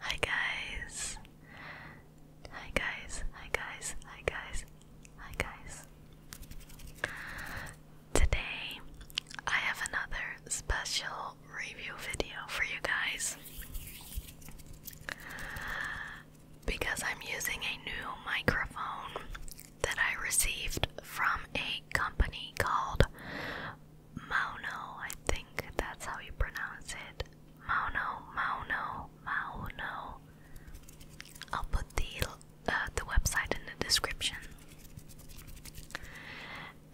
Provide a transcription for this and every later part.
Hi guys. Hi guys. Hi guys. Hi guys. Hi guys. Today I have another special review video for you guys. Because I'm using a new microphone that I received from a company called Mauno. I think that's how you pronounce it. Mauno, Mauno, Mauno. I'll put the uh, the website in the description.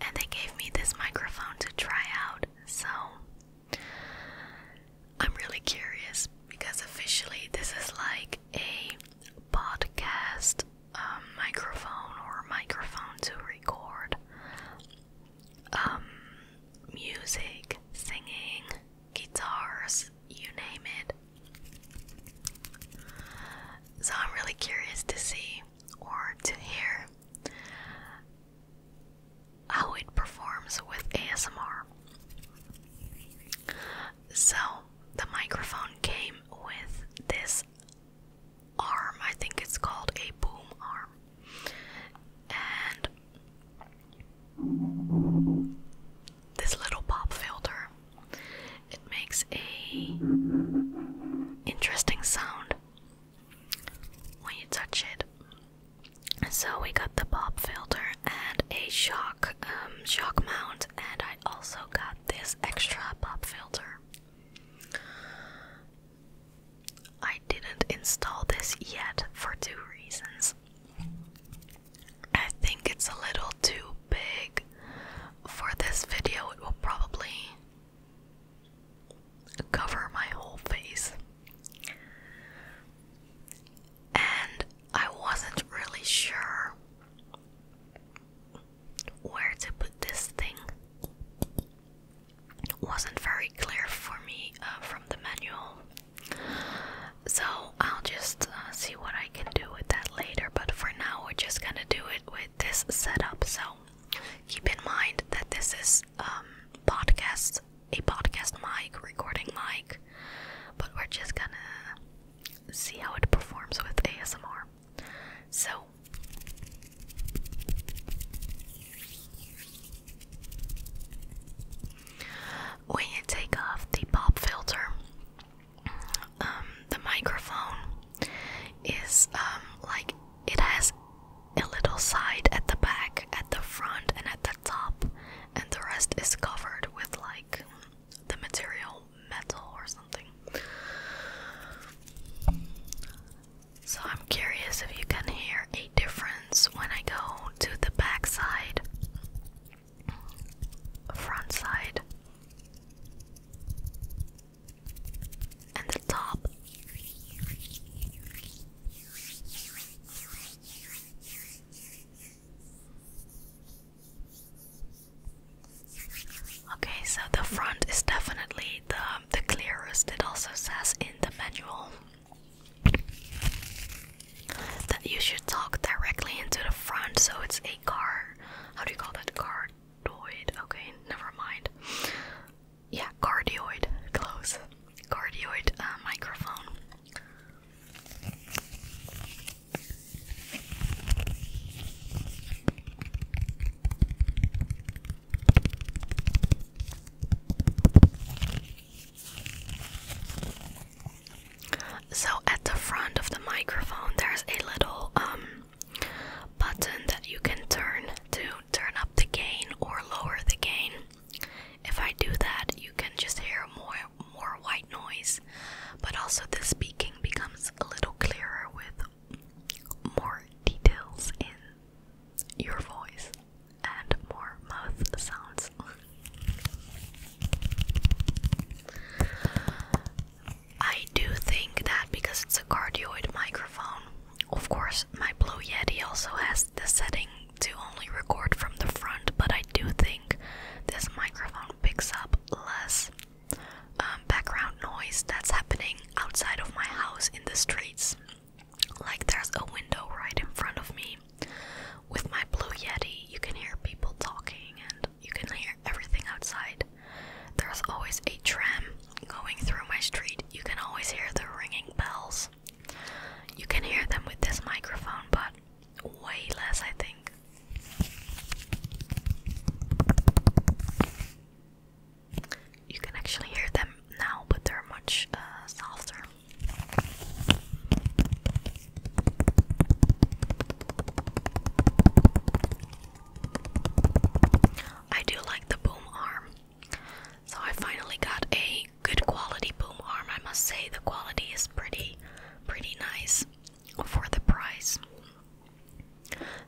And they gave me this microphone to try out, so I'm really curious because officially this is like a podcast um, microphone or microphone to record um, music, singing, guitars, you name it. So I'm really curious to see or to hear how it performs with ASMR. So the microphone came with this arm. I think it's called a boom arm. And this little pop filter it makes a interesting sound when you touch it. So we got the pop filter and a shock uh, um, shock mount, and I also got this extra pop filter. I didn't install this yet for two reasons. I think it's a little too big for this video, it will probably cover my whole face. And I wasn't really sure where to put this thing wasn't very clear for me uh, from the manual. So I'll just uh, see what I can do with that later, but for now we're just gonna do it with this setup. So keep in mind that this is um podcast a podcast mic, recording mic, but we're just gonna see how it performs with ASMR. So when you take off the pop filter, um, the microphone is um, like it has a little side at the back, at the front, and at the top, and the rest is covered with like the material metal or something. So I'm curious if you can hear a difference when I go to the back front side, and the top. Okay, so the front is definitely the the clearest. It also says in the manual that you should talk directly into the front, so it's a car. How do you call that? Cardioid. Okay, never mind. Yeah, cardioid. Close. Cardioid uh, microphone. So at the front of the microphone there's a little um, button that you can turn to turn up the gain or lower the gain. If I do that, you can just hear more more white noise, but also the speaking becomes a little clearer with more details in your voice and more mouth sounds. I do think that because it's a cardioid microphone, of course, my Blue Yeti also has the setting to only record from the front, but I do think this microphone picks up less um, background noise that's happening outside of my house in the streets. Like there's a window right in front of me. With my Blue Yeti, you can hear people talking and you can hear everything outside. There's always a tram going through my street. You can always hear the ringing bells. You can hear them with this microphone, but way less, I think. You can actually hear them now, but they're much uh, softer. I do like the boom arm. So I finally got a good quality boom arm. I must say the quality is pretty pretty nice for the price.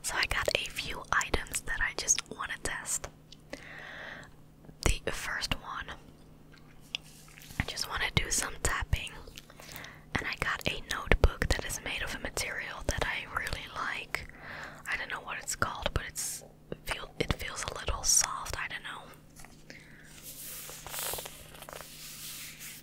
So I got a few items that I just want to test. The first one, I just want to do some tapping, and I got a notebook that is made of a material that I really like. I don't know what it's called, but it's feel it feels a little soft. I don't know.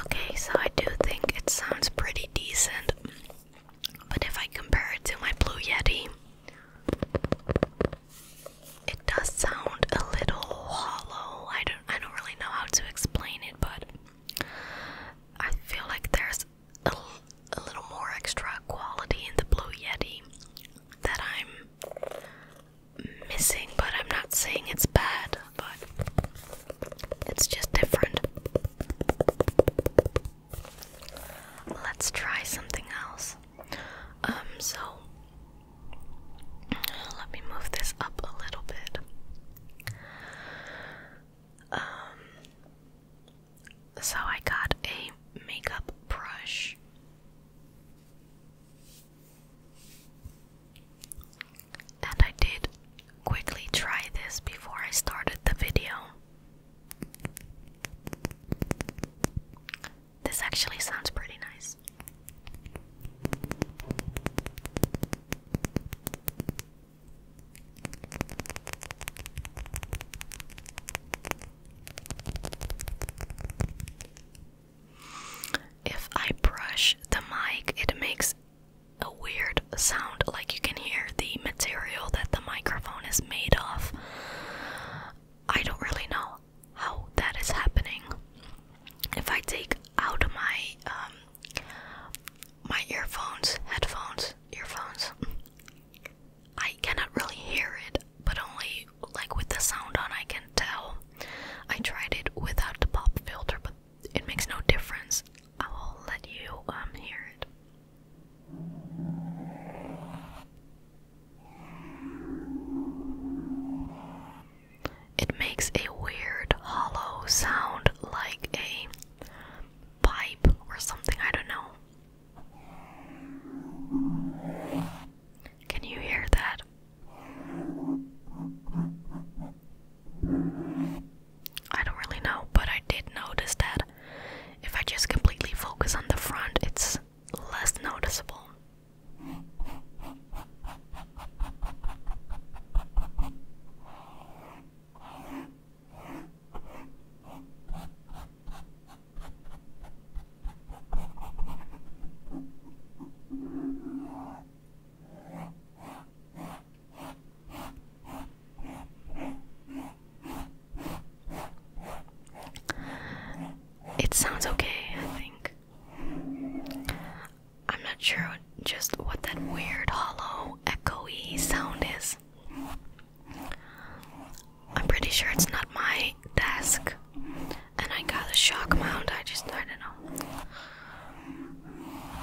Okay, so I do think it sounds pretty decent, but if I compare it to my Blue Yeti, it does sound a little hollow. I don't I don't really know how to explain it, but I feel like there's a, little more extra quality in the Blue Yeti that I'm missing, but I'm not saying it's bad, but it's just different. Let's try something else. Um, so let me move this up a little bit. Um, so I got a makeup brush. And I did quickly try this before I started the video. This actually sounds pretty nice. If I brush the mic, it makes a weird sound like you can hear the material that the microphone is made of. I don't really know how that is happening if I take out my um, my earphones, headphones, earphones. I cannot really hear it, but only like with the sound on, I can tell. I tried it without the pop filter, but it makes no difference. I will let you um hear it. It makes a weird hollow sound like a pipe or something, I don't know. Can you hear that? I don't really know, but I did notice that if I just completely focus on the front, it's less noticeable. It sounds okay, I think. I'm not sure just what that weird hollow echoey sound is. I'm pretty sure it's not my desk. And I got a shock mount, I just I don't know.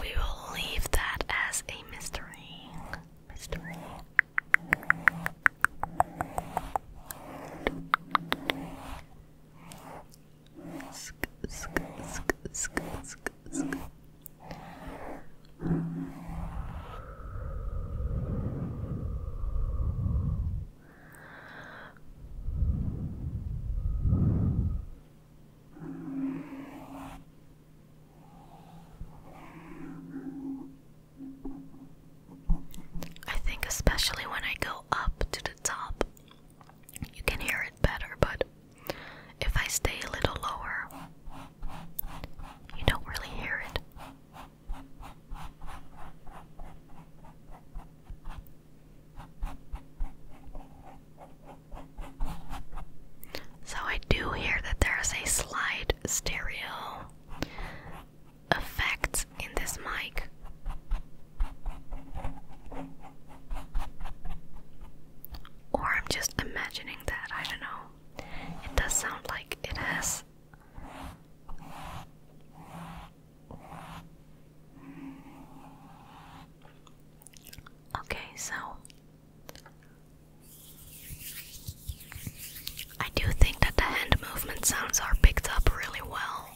We will leave that as a mystery. Mystery. I think, especially when I go up to the top, you can hear it better, but if I stay a little lower, you don't really hear it. So I do hear that there's a slide stereo effects in this mic. Or I'm just imagining that, I don't know. It does sound like it has. Okay, so I do think that the hand movement sounds are picked up really well.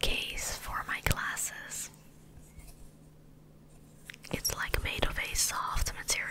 case for my glasses. It's like made of a soft material.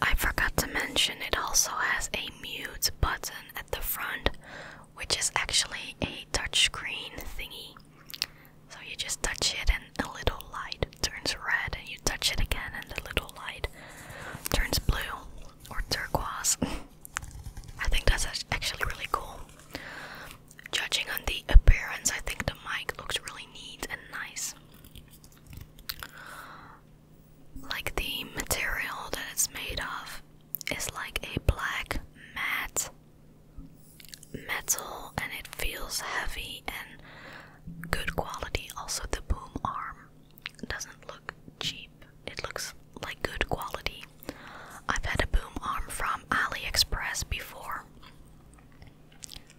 I forgot to mention it also has a mute button at the front, which is actually a touchscreen thingy. So you just touch it and a little light turns red, and you touch it again and the little light turns blue or turquoise. I think that's actually really cool. Judging on the appearance, I think the mic looks really neat and nice. Like the material that it's made of is like a black matte metal and it feels heavy and good quality. Also, the boom arm doesn't look cheap, it looks like good quality. I've had a boom arm from AliExpress before.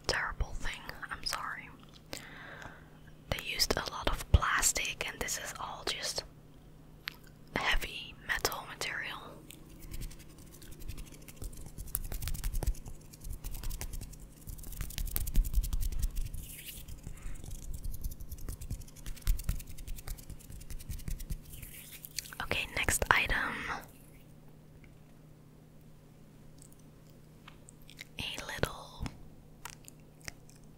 Terrible thing, I'm sorry. They used a lot of plastic, and this is all just heavy metal material. Okay, next item a little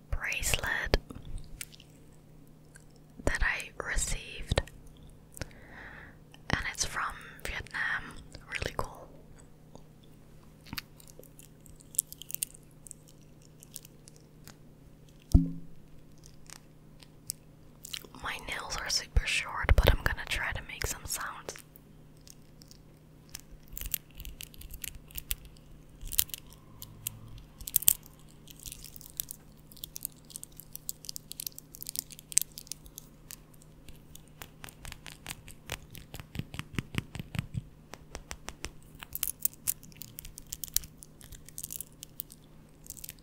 bracelet that I received, and it's from Vietnam. Really cool. My nails are super short, but I'm gonna try to make some sounds.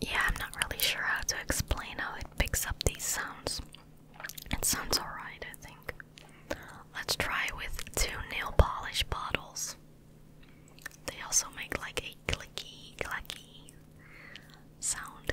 Yeah, I'm not really sure how to explain how it picks up these sounds. It sounds alright, I think. Let's try with two nail polish bottles. They also make like a clicky, clacky sound.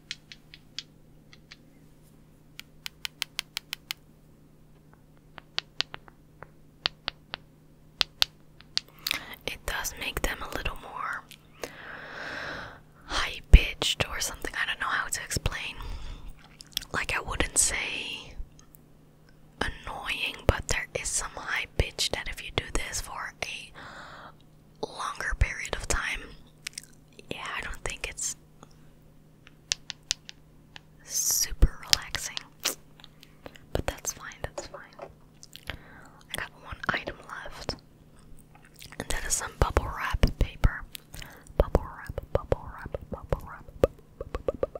It does make them a little more high pitched or something. I don't know how to explain. Like, I wouldn't say annoying, but there is some high pitch that if you do this for a longer period of time. Yeah, I don't think it's super relaxing. But that's fine, that's fine. I got one item left. And that is some bubble wrap paper. Bubble wrap, bubble wrap, bubble wrap. Bu bu bu bu bu.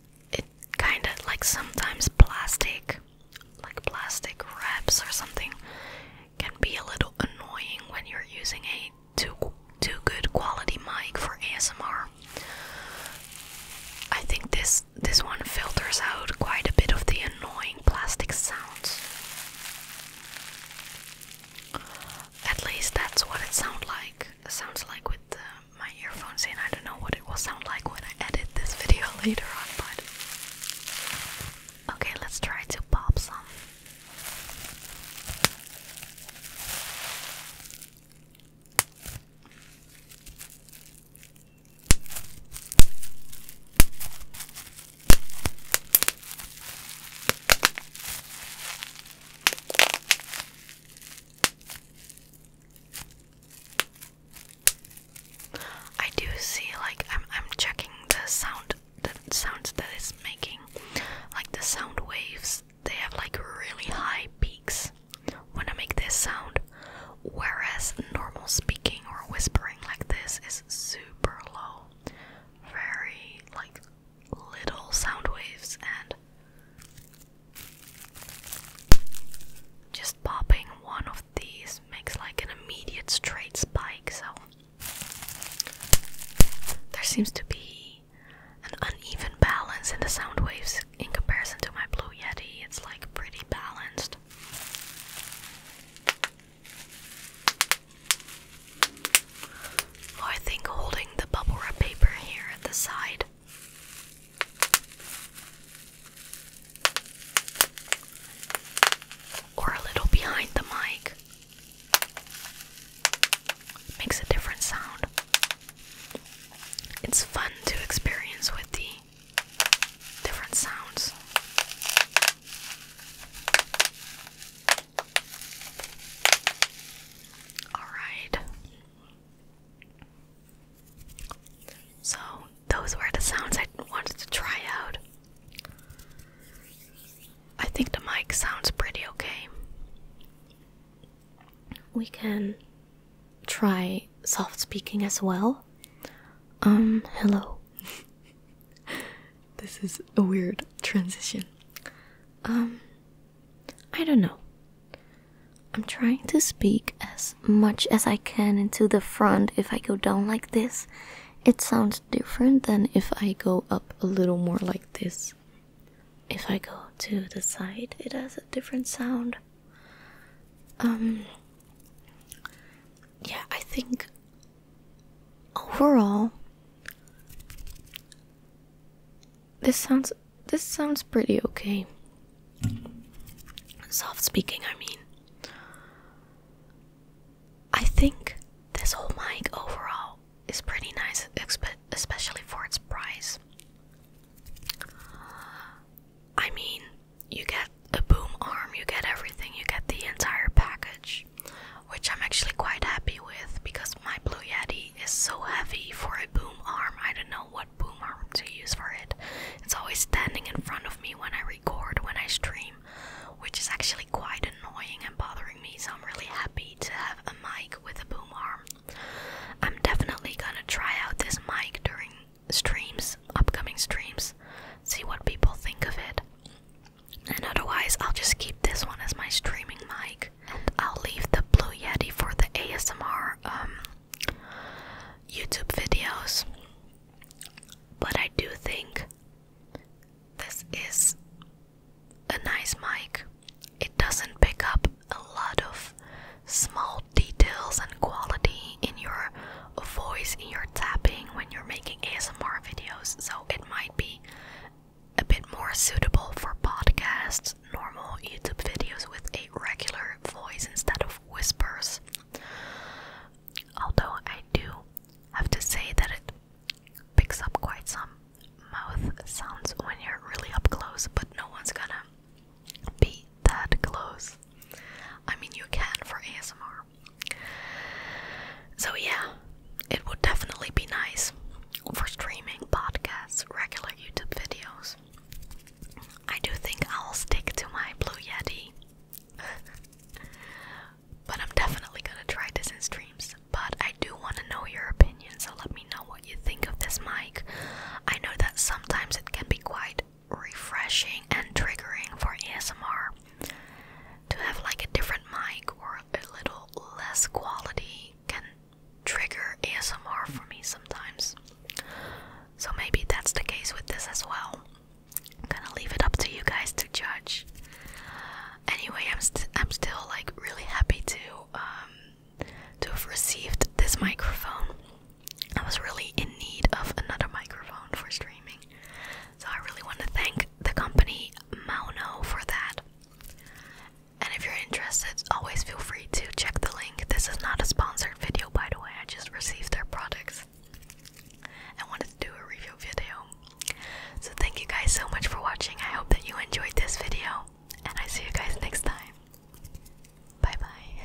it kind of like sometimes plastic, like plastic wraps or something, can be a little annoying when you're using a too too good quality mic for ASMR. I think this this one filters out quite a bit of the annoying plastic sounds. At least that's what it sounds like. sounds like with my earphones in. I don't know what it will sound like when I edit this video later on, but okay, let's try to pop some. I do see like I'm I'm checking the sound the sounds that it's making. Like the sound waves, they have like really high peaks when I make this sound. Whereas normal speaking or whispering like this is super low. Very like little sound waves and just popping one of these makes like an immediate straight spike, so there seems to be an uneven balance in the sound waves in comparison to my Blue Yeti. It's like pretty balanced. Oh, I think holding the bubble wrap paper here at the side or a little behind the mic. makes a different sound. It's fun to experience with the different sounds. Alright. So, those were the sounds I wanted to try out. I think the mic sounds pretty okay. We can try soft speaking as well. Um, hello. this is a weird transition. Um, I don't know. I'm trying to speak as much as I can into the front. If I go down like this, it sounds different than if I go up a little more like this. If I go to the side, it has a different sound. Um, yeah, I think overall, this sounds this sounds pretty okay. Soft speaking, I mean. I think this whole mic overall is pretty nice, especially for its price. I mean, you get a boom arm, you get everything, you get the entire package, which I'm actually quite happy with because my Blue Yeti is so heavy for a boom arm. I don't know what boom arm to use for it. It's always standing in front of me when I record, when I stream, which is actually quite annoying and bothering me. So I'm really happy to have a mic with a boom arm. I'm definitely gonna try out this mic during streams, upcoming streams, see what people think of it. And otherwise, I'll just keep this one as my streaming mic think I'll leave the Blue Yeti for the ASMR um, YouTube videos. But I do think this is a nice mic. It doesn't pick up a lot of small details and quality in your voice, in your tapping when you're making ASMR videos, so it might be a bit more suitable for podcasts, normal YouTube videos with a regular voice instead of whispers. Although I do have to say that it picks up quite some mouth sounds when you're really up close, but no one's gonna be that close. I mean, you can for ASMR. So, yeah, it would definitely be nice for streaming podcasts, regular YouTube videos. I do think I'll stick to my Blue Yeti. but I'm definitely gonna try this in streams. But I do want to know your opinion, so let me know what you think of this mic. I know that sometimes it can be quite refreshing and triggering for ASMR to have like a different mic or a little less quality can trigger ASMR for me sometimes. So maybe that's the case with this as well. I'm gonna leave it up to you guys to judge. Anyway, I'm i I'm still like really happy to um to have received this microphone. I was really in need of another microphone for streaming. So I really want to thank the company Mauno for that. And if you're interested, always feel free to check the link. This is not a sponsored video, by the way, I just received their products. I wanted to do a review video. So, thank you guys so much for watching. I hope that you enjoyed this video, and I see you guys next time. Bye bye.